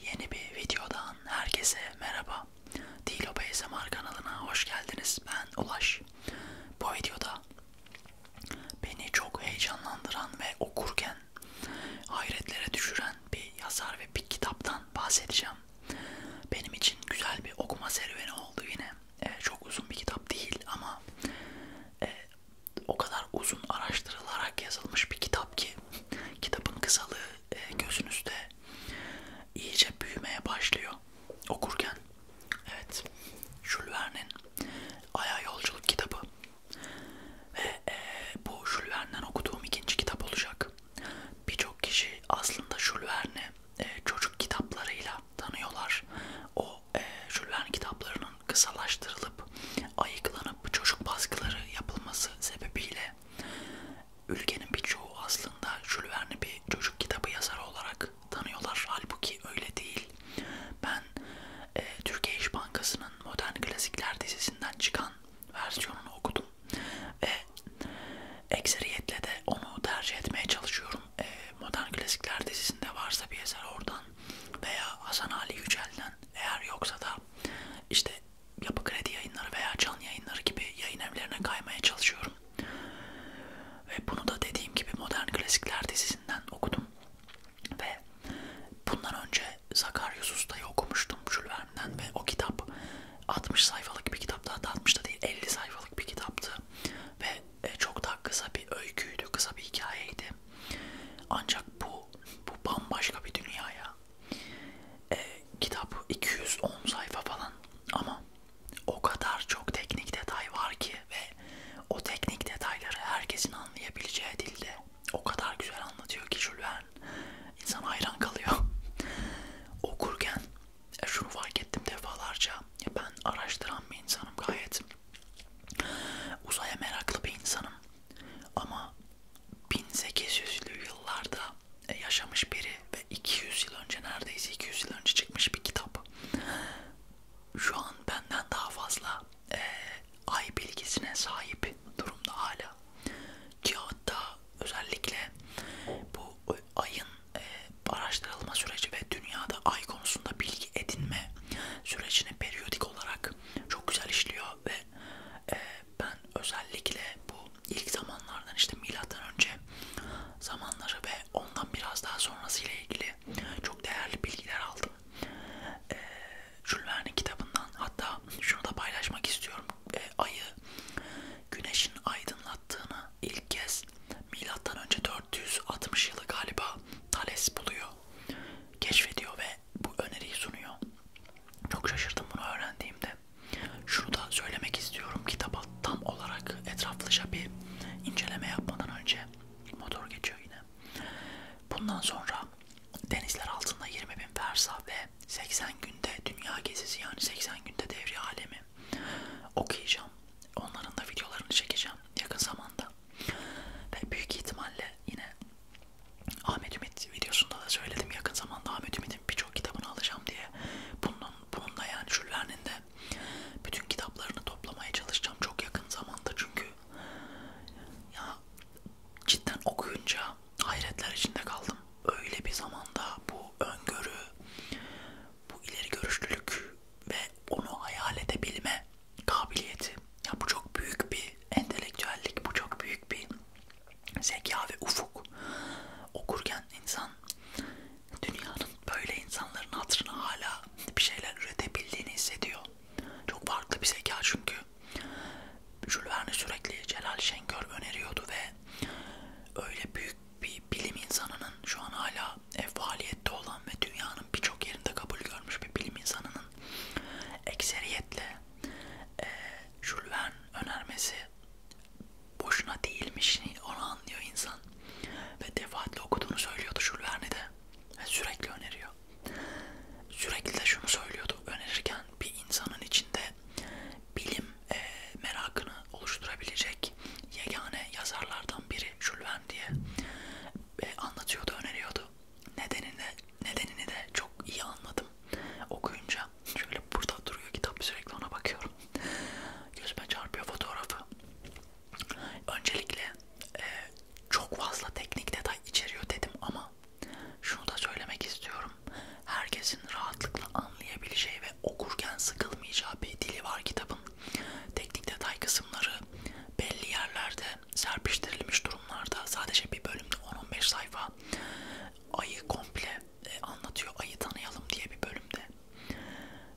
Yeni bir videodan herkese merhaba. Dilo ASMR kanalına hoş geldiniz. Ben Ulaş. Bu videoda beni çok heyecanlandıran ve okurken hayretlere düşüren bir yazar ve bir kitaptan bahsedeceğim. Benim için güzel bir okuma serüveni oldu yine. Ee, çok uzun bir kitap değil ama e, o kadar uzun araştırılarak yazılmış bir kitap ki kitabın kısalığı e, gözünüzde iyice büyümeye başlıyor okurken. Evet, Jules Verne'in Aya Yolculuk kitabı ve e, bu Jules Verne'den okuduğum ikinci kitap olacak. Birçok kişi aslında Jules Verne'i e, çocuk kitaplarıyla tanıyorlar. O e, Jules Verne kitaplarının kısalaştırılıp ayıklanıp bu çocuk baskıları yapılması sebebiyle ülkenin birçoğu aslında Jules Verne'i bir çocuk kitabı yazarı olarak tanıyorlar. Halbuki öyle değil. Ben e, Türkiye İş Bankası'nın Modern Klasikler dizisinden çıkan versiyonunu okudum ve ekseriyetle de onu tercih etmeye çalışıyorum. E, Modern Klasikler dizisinde varsa bir eser oradan veya Hasan Ali Yücel'den eğer yoksa da işte yapı kredi yayınları veya canlı yayınları gibi yayın evlerine kaymaya çalışıyorum. Ve bunu da dediğim gibi Modern Klasikler dizisinden okudum. Ve bundan önce Zakaryus Usta'yı okumuştum Jules Verne'den ve o kitap 60 sayfalık bir kitaptı. Hatta 60 da değil 50 sayfalık bir kitaptı. Ve e, çok da kısa bir öyküydü, kısa bir hikayeydi. Ancak bu bu bambaşka bir dünya ya. E, kitap 210 sayfa falan ama o kadar çok teknik detay var ki ve o teknik detayları herkesin anlayabileceği dilde o kadar güzel anlatıyor ki Jules Verne. İnsan hayran kalıyor. Okurken e, şunu fark ettim defalarca. Ben araştıran bir insanım gayet. Uzaya meraklı bir insanım. Ama 1800'lü yıllarda e, yaşamış biri ve 200 yıl önce neredeyse 200 yıl önce çıkmış bir kitap. Şu an benden daha fazla e, ay bilgisine sahip durumda hala. Ki hatta özellikle bu ayın e, araştırılma süreci ve dünyada ay konusunda bilgi edinme sürecini periyodik olarak çok güzel işliyor ve e, ben özellikle bu ilk zamanlardan işte milattan önce zamanları ve ondan biraz daha sonrası ile ilgili çok değerli bilgiler aldım. E, Jules Verne kitabından hatta şunu da paylaşmak istiyorum. E, ayı güneşin aydınlattığını ilk kez milattan önce 460 yılı galiba Thales buluyor keşfediyor ve bu öneriyi sunuyor. Çok şaşırdım bunu öğrendiğimde. Şunu da söylemek istiyorum. Kitaba tam olarak etraflıca bir inceleme yapmadan önce motor geçiyor yine. Bundan sonra denizler altında 20 bin versa ve 80 günde dünya gezisi yani 80 günde devri alemi okuyacağım. Onların da videolarını çekeceğim yakın zamanda. Ve büyük ihtimalle yine Ahmet Ümit videosunda da söyledim yakın zamanda Ahmet Ümit'in birçok kitabını alacağım diye. Bunun, bununla yani Şüller'nin de bütün kitaplarını toplamaya çalışacağım çok yakın zamanda çünkü ya cidden okuyunca hayretler içinde kaldım. Öyle bir zamanda bu öngörü, bu ileri görüşlülük ve onu hayal edebilme kabiliyeti. Ya bu çok büyük bir entelektüellik, bu çok büyük bir zeka ve ufuk. Okurken insan dünyanın böyle insanların hatırına hala bir şeyler üretebildiğini hissediyor. Çok farklı bir zeka çünkü. Jules Verne sürekli Celal Şengör öneriyordu ve öyle büyük bir bilim insanının şu an hala ev faaliyette olan ve dünyanın birçok yerinde kabul görmüş bir bilim insanının ekseriyetle e, Jules Verne önermesi boşuna değilmiş onu anlıyor insan ve defaatle okuduğunu söylüyordu Jules Verne'i de ve sürekli öneriyor sürekli de şunu söylüyordu önerirken bir insanın içinde bilim e, merakını oluşturabilecek yegane yazarlardan biri Jules Verne diye e, anlatıyordu, öneriyordu. Nedenini de, nedenini de çok iyi anladım okuyunca. Şöyle burada duruyor kitap sürekli ona bakıyorum. Gözüme çarpıyor fotoğrafı. Öncelikle e, çok fazla teknik detay içeriyor dedim ama şunu da söylemek istiyorum. Herkesin rahatlıkla anlayabileceği ve okurken sıkılmayacağı bir dili var kitabın. Teknik detay kısımları belli yerlerde serpiştirilmiş durumlarda sadece bir bölümde 10-15 sayfa ayı komple e, anlatıyor. Ayı tanıyalım diye bir bölümde.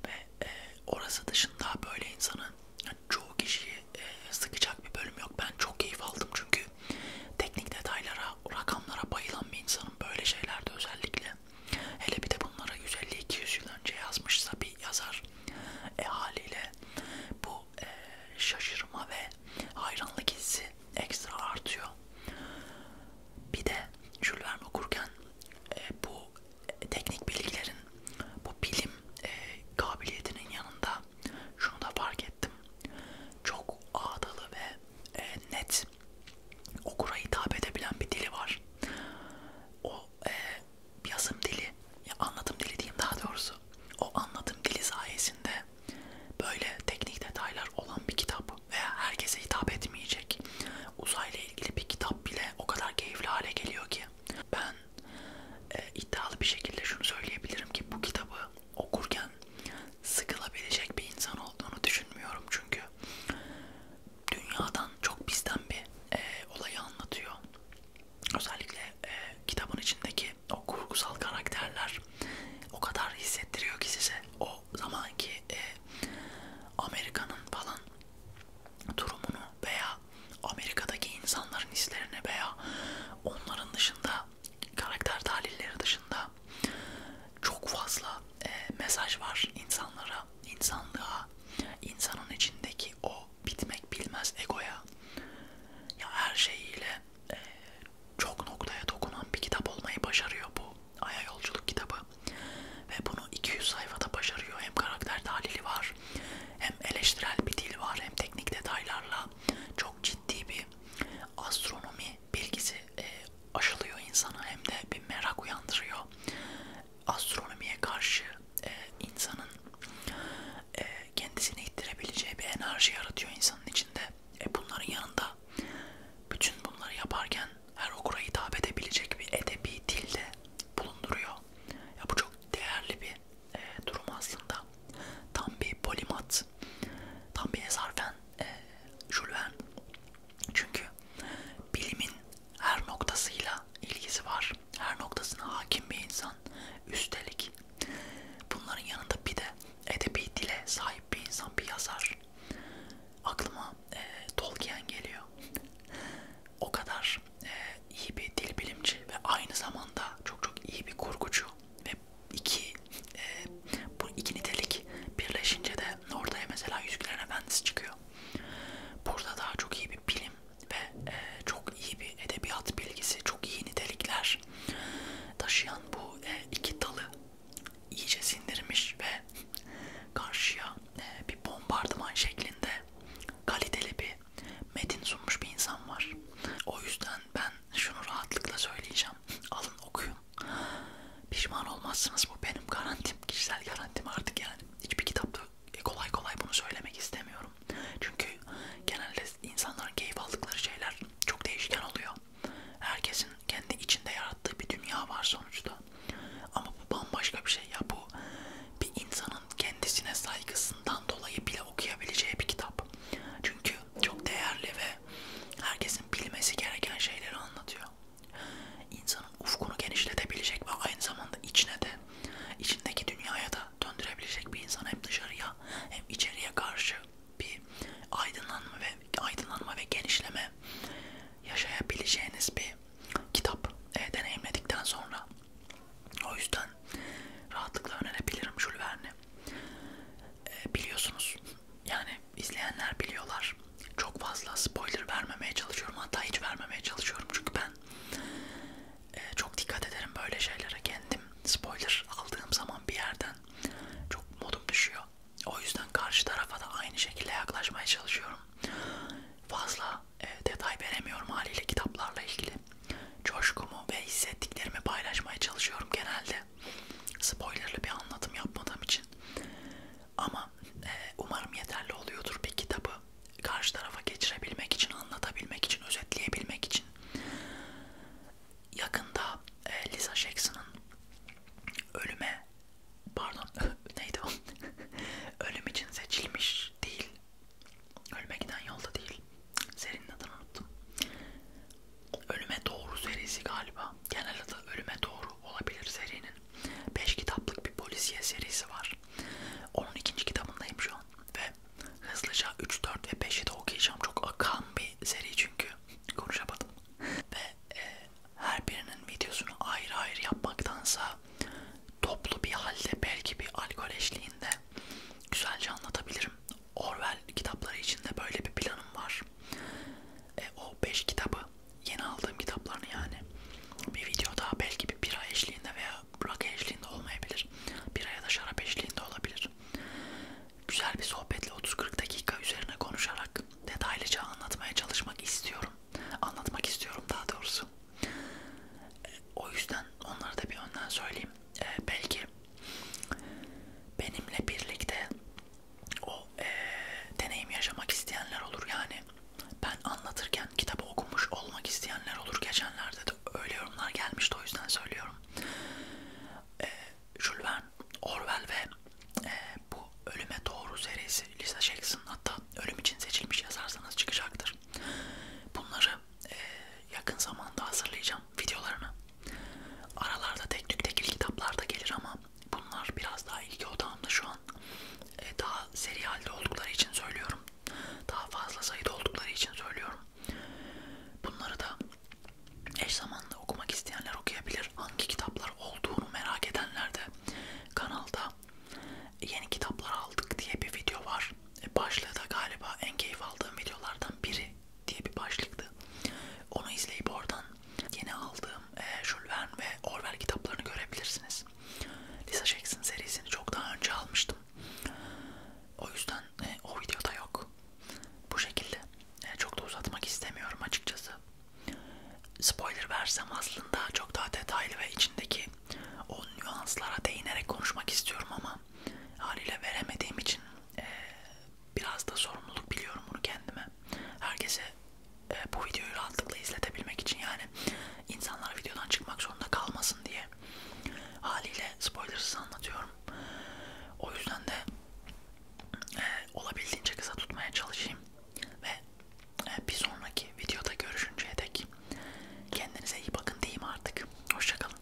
Ve e, orası dışında böyle insanın yani çoğu kişiyi e, sıkacak bir bölüm yok. Ben çok keyif aldım çünkü teknik detaylara, rakamlara bayılan bir insanım böyle şeylerde özellikle. Hele bir de bunlara 150-200 yıl önce yazmışsa bir yazar e, haliyle bu e, şaşırma ve hayranlık hissi ekstra artıyor. Bir de Jules Verne okurken e, bu e, teknik bilgilerin, bu bilim e, kabiliyetinin yanında şunu da fark ettim. Çok ağdalı ve e, net okura hitap edebilen bir dili var. O e, yazım dili, ya anlatım dili diyeyim daha doğrusu. O anlatım dili sayesinde böyle teknik detaylar olan bir kitap veya herkese hitap etmeyecek uzayla ilgili bir kitap bile o kadar keyifli hale geliyor ki. Ben e, iddialı bir şekilde şunu söyleyebilirim ki bu kitabı okurken sıkılabilecek bir insan olduğunu düşünmüyorum çünkü dünyadan çok bizden bir e, olayı anlatıyor. Özellikle e, kitabın içindeki o kurgusal karakterler o kadar hissettiriyor ki size o zamanki e, Amerika'nın falan durumunu veya Amerika'daki insanların hislerini veya onların dışında karakter tahlilleri dışında çok fazla e, mesaj var insanlara, insanlığa, insanın içindeki o bitmek bilmez egoya. Ya her şeyiyle e, çok noktaya dokunan bir kitap olmayı başarıyor bu Aya Yolculuk kitabı. Ve bunu 200 sayfada başarıyor. Hem karakter tahlili var, hem eleştirel bir dil var, hem teknik detaylarla çok ciddi bir astronomi bilgisi e, aşılıyor insana hem de bir merak uyandırıyor astronomiye karşı e, insanın e, kendisini ittirebileceği bir enerji yaratıyor insanın içinde. E, bunların yanında bütün bunları yaparken her okura hitap edebilecek bir edebi dilde bulunduruyor. Ya bu çok değerli bir e, durum aslında. Tam bir polimat, tam bir ezarfen, e, jülven. Çünkü bilimin her noktasıyla ilgisi var. Her noktasına hakim bir insan. Üstelik bunların yanında bir de edebi dile sahip bir insan, bir yazar. Aklıma e, Tolkien geliyor. o kadar e, iyi bir dil bilimci ve aynı zamanda çok çok iyi bir kurgucu ve iki e, bu iki nitelik birleşince de ortaya mesela Yüzüklerin Efendisi çıkıyor çıkıyor. Burada daha çok iyi bir bilim ve e, çok iyi bir edebiyat bilgisi, çok iyi nitelikler taşıyan bu e, iki dalı iyice sindirmiş ve karşıya e, bir bombardıman şeklinde kaliteli bir metin sunmuş bir insan var. O yüzden ben şunu rahatlıkla söyleyeceğim. Alın okuyun. Pişman olmazsınız bu benim garantim, kişisel garantim artık yani. Hiçbir kitapta kolay kolay bunu söylemek istemiyorum. Çünkü genelde insanların keyif aldıkları şeyler çok değişken oluyor. Herkesin kendi içinde yarattığı bir dünya var sonuçta. Ama bu bambaşka bir şey ya bu bir insanın kendisine saygısından dolayı bile okuyabileceği bir kitap. Çünkü çok değerli ve herkesin bilmesi gereken şeyleri anlatıyor insanın ufkunu genişletebilecek ve aynı zamanda içine de içindeki dünyaya da döndürebilecek bir insan hem dışarıya hem içeriye karşı bir aydınlanma ve aydınlanma ve genişleme yaşayabileceğiniz bir kitap e, deneyimledikten sonra o yüzden rahatlıkla önerebilirim Jules Verne'i. E, biliyorsunuz yani izleyenler biliyorlar. Çok fazla spoiler vermemeye çalışıyorum. Hatta hiç vermemeye çalışıyorum. Çünkü ben e, çok dikkat ederim böyle şeylere. Kendim spoiler aldığım zaman bir yerden çok modum düşüyor. O yüzden karşı tarafa da aynı şekilde yaklaşmaya çalışıyorum. Fazla e, detay veremiyorum haliyle kitaplarla ilgili. Coşkumu ve hissettiklerimi paylaşmaya çalışıyorum genelde spoilerlı bir anlatım yapmadığım için ama e, umarım yeterli oluyordur bir kitabı karşı tarafa geçirebilmek için, anlatabilmek için, özetleyebilmek için. Yakında e, Lisa Jackson'ın ölüme, pardon neydi o? Ölüm için seçilmiş değil, ölme giden yolda değil. Serinin adını unuttum. Ölüme Doğru serisi galiba. Genel adı Ölüme Doğru olabilir serinin. 5 kitaplık bir polisiye serisi var. Onun ikinci kitabındayım şu an. Ve hızlıca 3, 4 ve 5'i de okuyacağım. Çok akan bir seri çünkü. Konuşamadım. Ve e, her birinin videosunu ayrı ayrı yapmaktansa toplu bir halde belki bir alkol eşliğinde güzelce anlatabilirim. Orwell kitapları için de böyle bir planım var. E, o 5 kitabı yeni aldığım kitaplarını yani bir video daha belki bir bira eşliğinde veya rakı eşliğinde olmayabilir. Bira ya da şarap eşliğinde olabilir. Güzel bir sohbetle 30-40 dakika üzerine konuşarak detaylıca anlatmaya çalışmak istiyorum. Anlatmak istiyorum daha doğrusu. E, o yüzden onları da bir önden söyleyeyim. E, belki benimle birlikte o e, deneyim yaşamak isteyenler olur yani. Ben anlatırken kitabı okumuş olmak isteyenler olur. Geçenlerde de öyle yorumlar gelmişti o yüzden söylüyorum. E, Jules Verne, Orwell ve e, bu Ölüme Doğru serisi Lisa Jackson hatta ölüm için seçilmiş yazarsanız çıkacaktır. Bunları e, yakın zamanda hazırlayacağım paylaşacağım videolarını. Aralarda tek tük tekil kitaplar da gelir ama bunlar biraz daha ilgi odağımda şu an. Ee, daha seri halde oldukları için söylüyorum. Daha fazla sayıda oldukları için söylüyorum. Bunları da eş zamanlı okumak isteyenler okuyabilir. Hangi kitaplar olduğunu merak edenler de kanalda yeni kitaplar aldık diye bir video var. E, başlığı da galiba en keyif aldığım videolardan biri diye bir başlıktı. Onu izleyip oradan yeni aldığım e, Jules Verne ve Orwell kitaplarını görebilirsiniz. Lisa Jackson serisini çok daha önce almıştım. O yüzden e, o videoda yok. Bu şekilde. E, çok da uzatmak istemiyorum açıkçası. Spoiler versem aslında çok daha detaylı ve içindeki o nüanslara değinerek konuşmak istiyorum ama haliyle veremediğim için e, biraz da sorumluluk biliyorum bunu kendime. Herkese e, bu videoyu rahatlıkla izletebilmek için yani insanlar videodan çıkmak zorunda kalmasın diye haliyle spoilersız anlatıyorum. O yüzden de e, olabildiğince kısa tutmaya çalışayım ve e, bir sonraki videoda görüşünceye dek kendinize iyi bakın diyeyim artık. Hoşçakalın.